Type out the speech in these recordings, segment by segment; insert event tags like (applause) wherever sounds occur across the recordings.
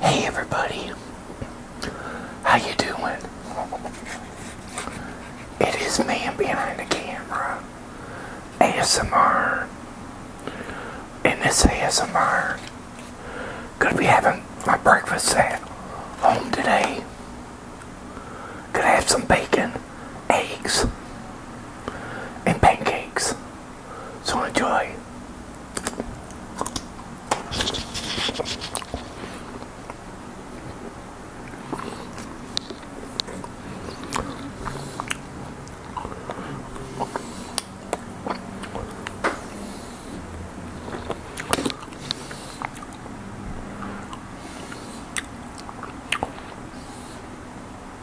Hey everybody, how you doing? It is man behind the camera, ASMR, and this ASMR, gonna be having my breakfast at home today. Gonna have some bacon, eggs, and pancakes. So enjoy.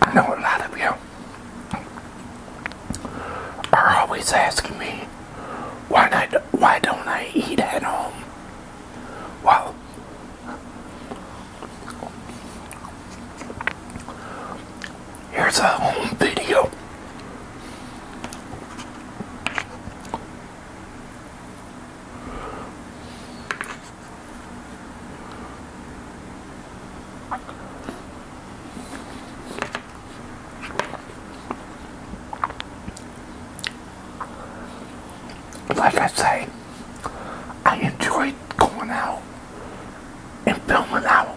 I know a lot of you are always asking me why not? Why don't I eat at home? Well, here's a home video. Like I say, I enjoy going out and filming out.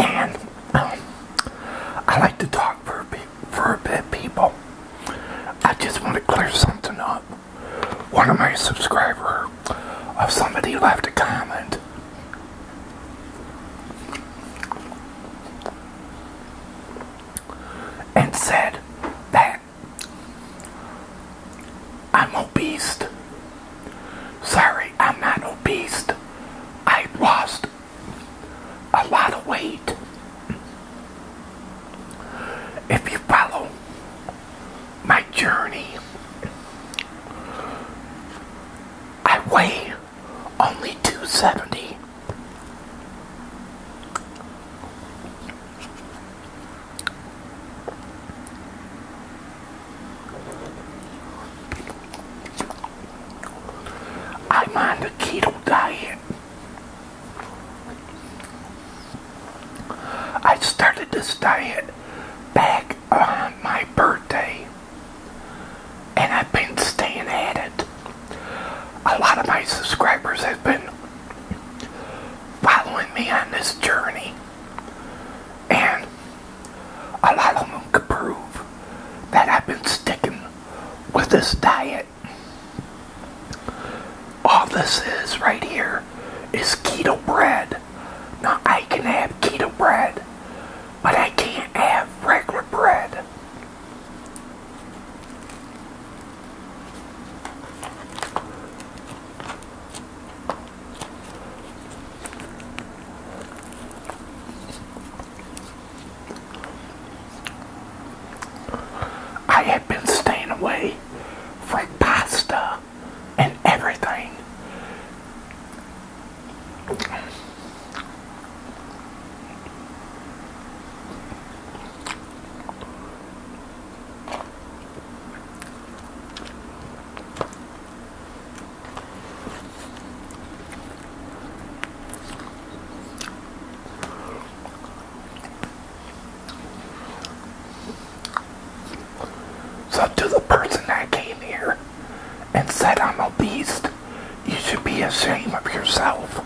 And (clears throat) I like to talk for a bit, for a bit, people. I just want to clear something up one of my subscribers of somebody left a comment and said that I'm beast. Sorry, I'm not beast. I lost a lot of weight. If you follow my journey. I weigh only 270. I'm on the keto diet. I started this diet back on my birthday, and I've been staying at it. A lot of my subscribers have been following me on this journey, and a lot of them could prove that I've been sticking with this diet all this is right here is keto bread. Now, I can have keto bread, but I can't have regular bread. I have been staying away for pasta and everything. So to the person that came here and said I'm a beast, you should be ashamed of yourself.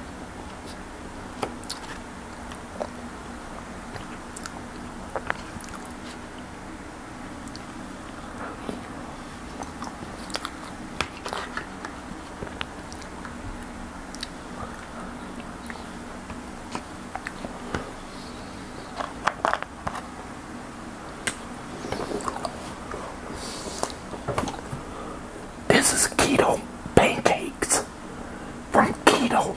This is keto pancakes from keto.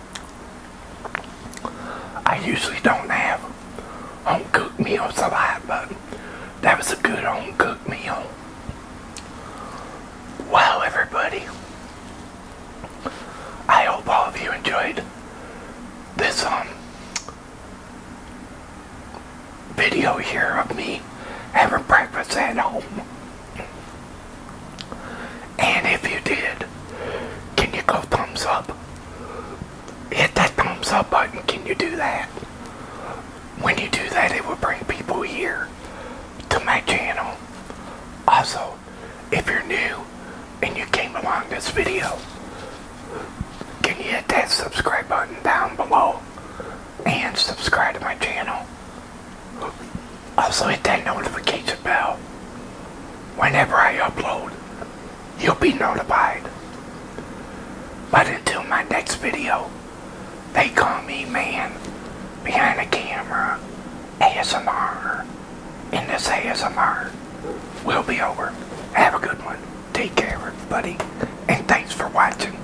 I usually don't have home cooked meals a lot, but that was a good home cooked meal. Well, everybody. I hope all of you enjoyed this um, video here of me having breakfast at home. And if you did, can you go thumbs up? Hit that thumbs up button. Can you do that? When you do that, it will bring people here to my channel. Also, if you're new and you came along this video, can you hit that subscribe button down below and subscribe to my channel? Also hit that notification bell. Whenever I upload, you'll be notified. But until my next video, they call me man behind the camera ASMR. And this ASMR will be over. Have a good one. Take care, everybody. And thanks for watching.